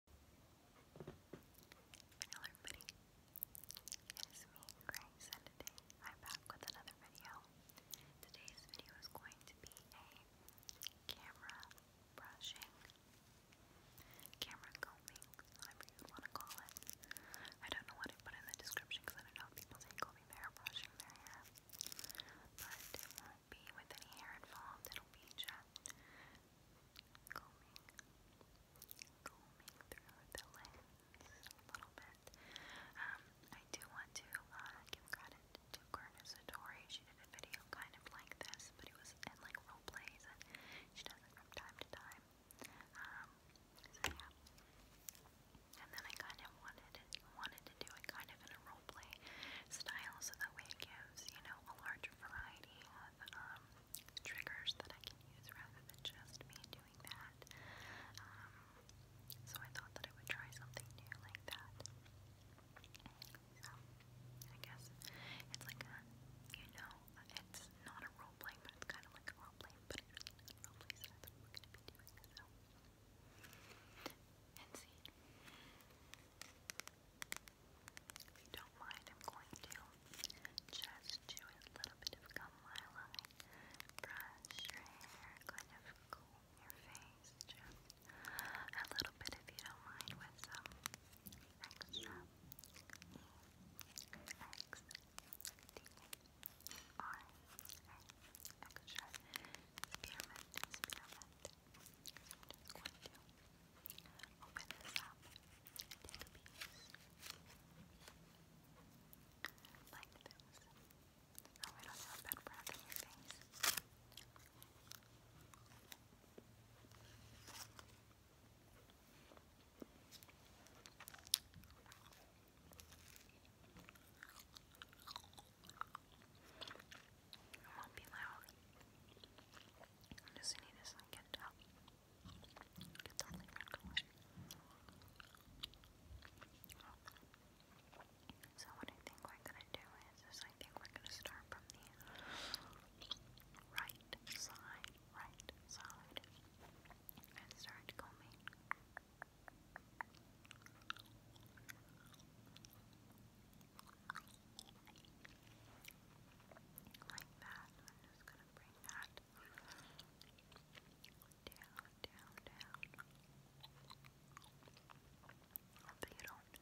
Hello everybody, it is me, Grace, and today I'm back with another video. Today's video is going to be a camera brushing, camera combing, whatever you want to call it. I don't know what I put in the description because I know people say combing hair, brushing hair, but it won't be with any hair involved, it'll be just combing, I do want to give credit to Corinna Satori. She did a video kind of like this, but it was in like role and she does it from time to time. so yeah. And then I kind of wanted wanted to do it kind of in a role style, so that way it gives you know a larger variety ideas, triggers that I can use rather than just me doing that. Um, so I thought that I would try something new like that. So I guess it's like you know, it's not a role but it's kind of like a role but it's a role play, so So. And see. If you don't mind, I'm going to just do a little bit of gum highlight. Brush your hair, kind of comb your face, just a little bit if you don't mind with some extra EX. D R A extra spearmint, spearmint, just going open this up take a piece like this. Oh, I don't have bad breath in your face. It will just going. So what I think we're gonna do is, is I think we're gonna start from the right side, right side, and start combing. Like that. I'm just going to bring that down, down, down. Hope you don't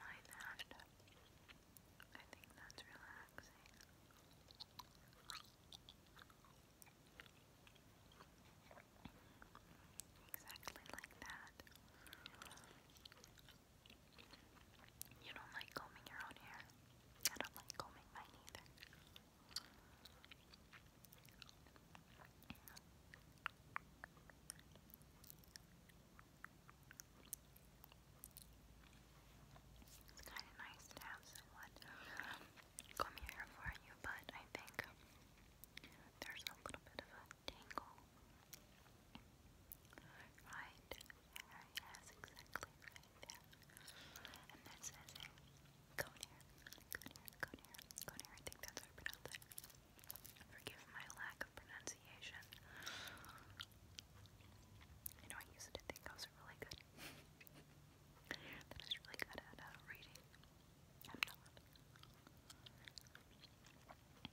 mind that. I think that's relaxing. Exactly like that. You don't like combing your own hair. I don't like combing mine either. It's kind of nice to have someone comb your hair for you, but I think there's a little bit of a tangle. Right? Right, yes, exactly right I think that's how I pronounce it. Forgive my lack of pronunciation. You know, I used to think I was really good. that really good at reading. I'm not.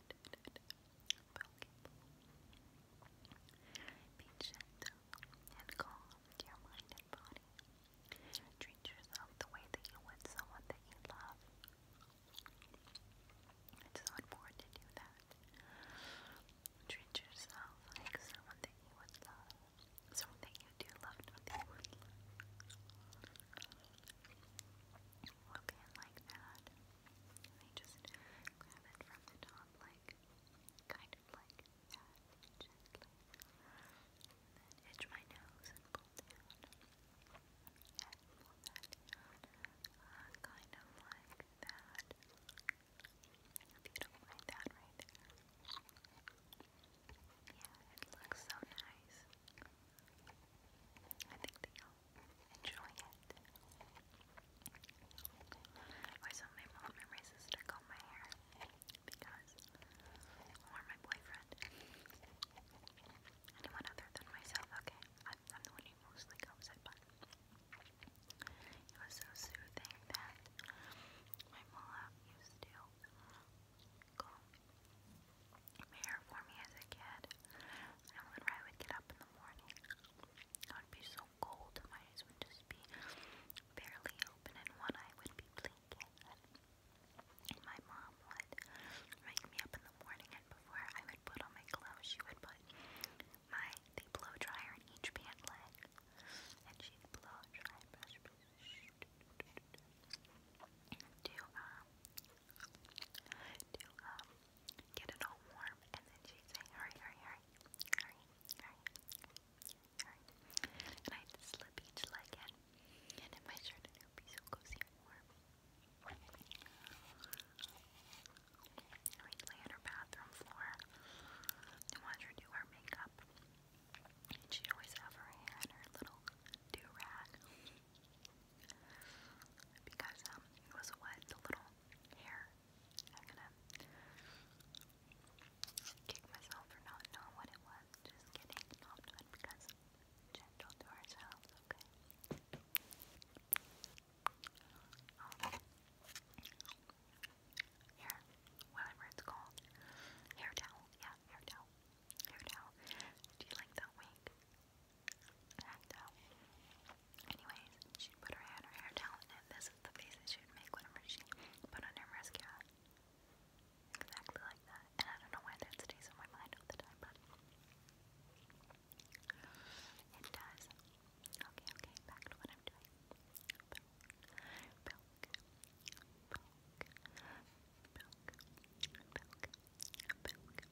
Be gentle and calm to your mind and body. Treat yourself the way that you would someone that you love. It's so important to do that. Treat yourself like someone that you would love. Someone that you do love, not like that. I just grab it from the top, like, kind of like that, gently. my nose and pull down. And uh, kind of like that. If you don't like that right Yeah, it looks so nice. I think they all enjoying it. Also, my mom and my sister comb my hair because, or my boyfriend, anyone other than myself. Okay, I'm, the one who mostly combs it, but it was so soothing that my mom used to comb my hair for me as a kid. And when I would get up in the morning, I would be so cold, my eyes would just be barely open, and one eye would be blinking. And my mom would wake me up in the morning, and before I would put on my gloves, she would put my the blow dryer in each pant leg, and she'd blow dry, brush, brush, to um, to um, get it all warm, and then she'd hurry, hurry, hurry, hurry, hurry, hurry. And I'd slip each leg in, and in my shirt, and it would be cozy and warm. And we on her bathroom floor and watch her do her makeup. And she'd always have her hair in her little do-rag. Because um, it was what the little hair I'm gonna kick myself for not knowing what it was. Just kidding, not good because gentle to ourselves, okay? Um, whatever it's called. Hair towel, yeah, hair towel. Hair towel. Do you like that wig? And, um, she put her hair down, and this is the face that she would make whenever she put on her mascara. Exactly like that. And I don't know why that stays on my mind all the time, but it does. Okay, okay, back to what I'm doing.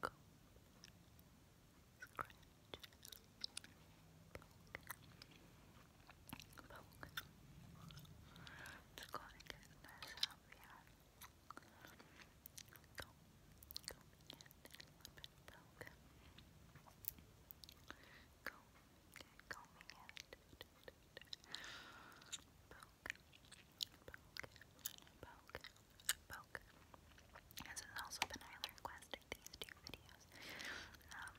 go, scratch, poke, poke. It's going to get nice out here. Go, go again, a bit poke. Go, okay, go again. Poke, poke, poke, This has also been highly requested, these two videos. Um,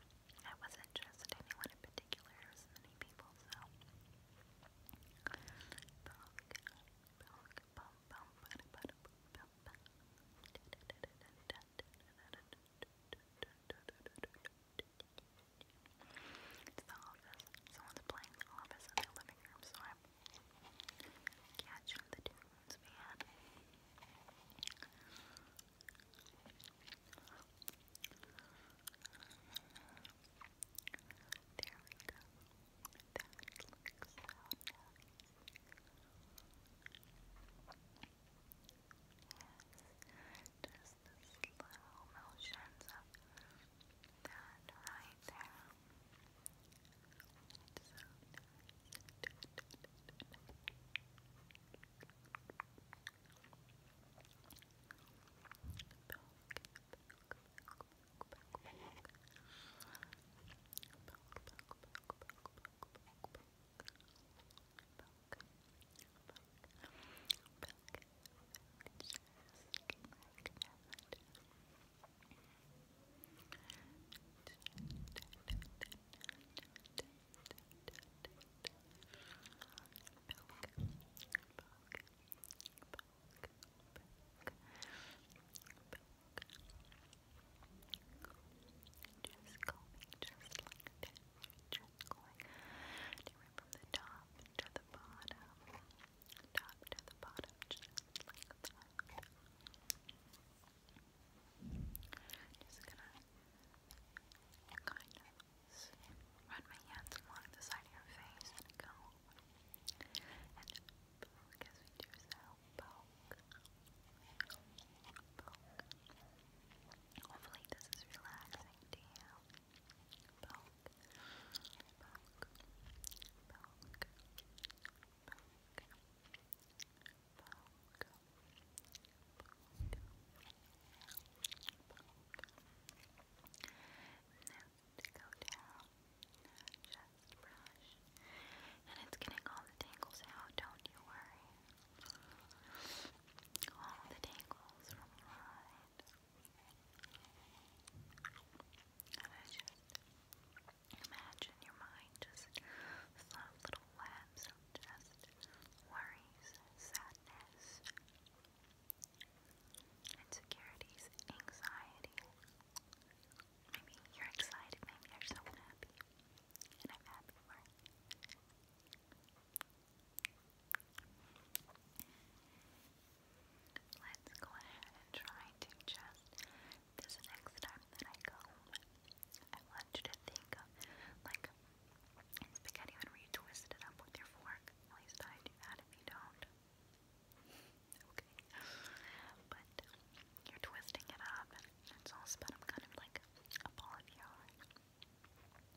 I wasn't interested in anyone in particular, many people, so. Catch the tunes, man. There we go. That looks so Yes, just the slow motions that right there. Just combing just like that. Just going to from the top to the bottom top to the bottom, just like that. Just gonna kind of run my hands along the side of your face and go and poke we do so. Poke. Poke. Hopefully this is relaxing to you. Poke brush. And it's getting all the tangles out, don't you worry. All the tangles from your and I just imagine your mind just full of little webs just worries, sadness, insecurities, anxiety. Maybe you're excited, maybe you're so happy. And I'm happy for it. Let's go ahead and try to just this next time that I go I want you to think of like spaghetti when you twist it up with your fork. At least I do that if you don't. okay. But you're twisting it up and it's all spun up kind of like a ball of yarn.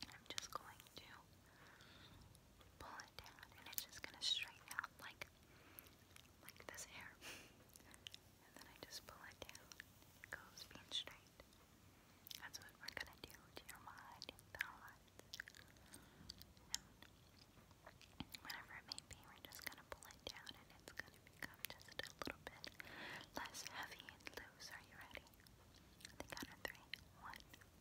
I'm just going to pull it down and it's just gonna straighten out like like this hair. and then I just pull it down. It goes being straight. That's what we're gonna do to your mind and thoughts. And it may be, we're just gonna pull it down and it's gonna become just a little bit less heavy and loose. Are you ready? think out of three. One, two,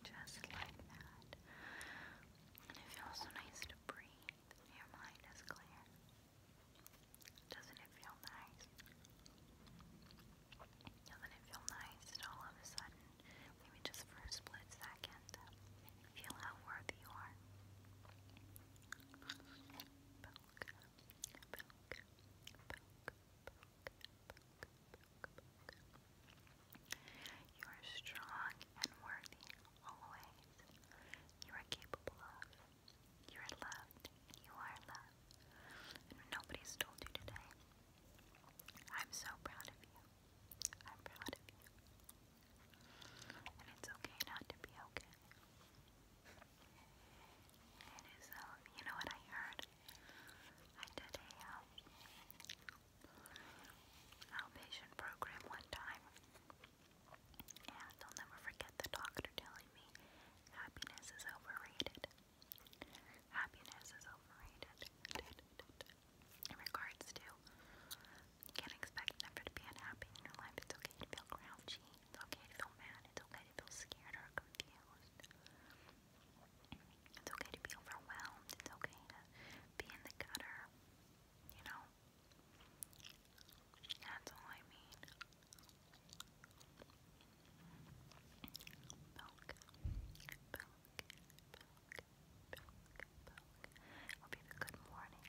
Just like that. And it feels so nice to breathe. Your mind is clear. Doesn't it feel nice? Doesn't it feel nice all of a sudden, maybe just for a split second, feel how worthy you are? You are strong and worthy always. You are capable of. You are loved. You are loved. nobody's told you today. I'm so proud of you. I'm proud of you. And it's okay not to be okay. It is, um, you know what I heard? I did a um, outpatient program one time, and I'll never forget the doctor telling me happiness is overrated. Happiness is overrated. In regards to, you can't expect never to be unhappy in your life. It's okay to feel grouchy. It's okay to feel mad. It's okay to feel scared or confused. It's okay to be overwhelmed. It's okay to be in the gutter. You know? That's all I mean. Poke, poke, poke, poke, poke. have a good morning,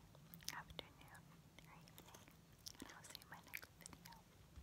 afternoon, evening. And I'll see you in my next video.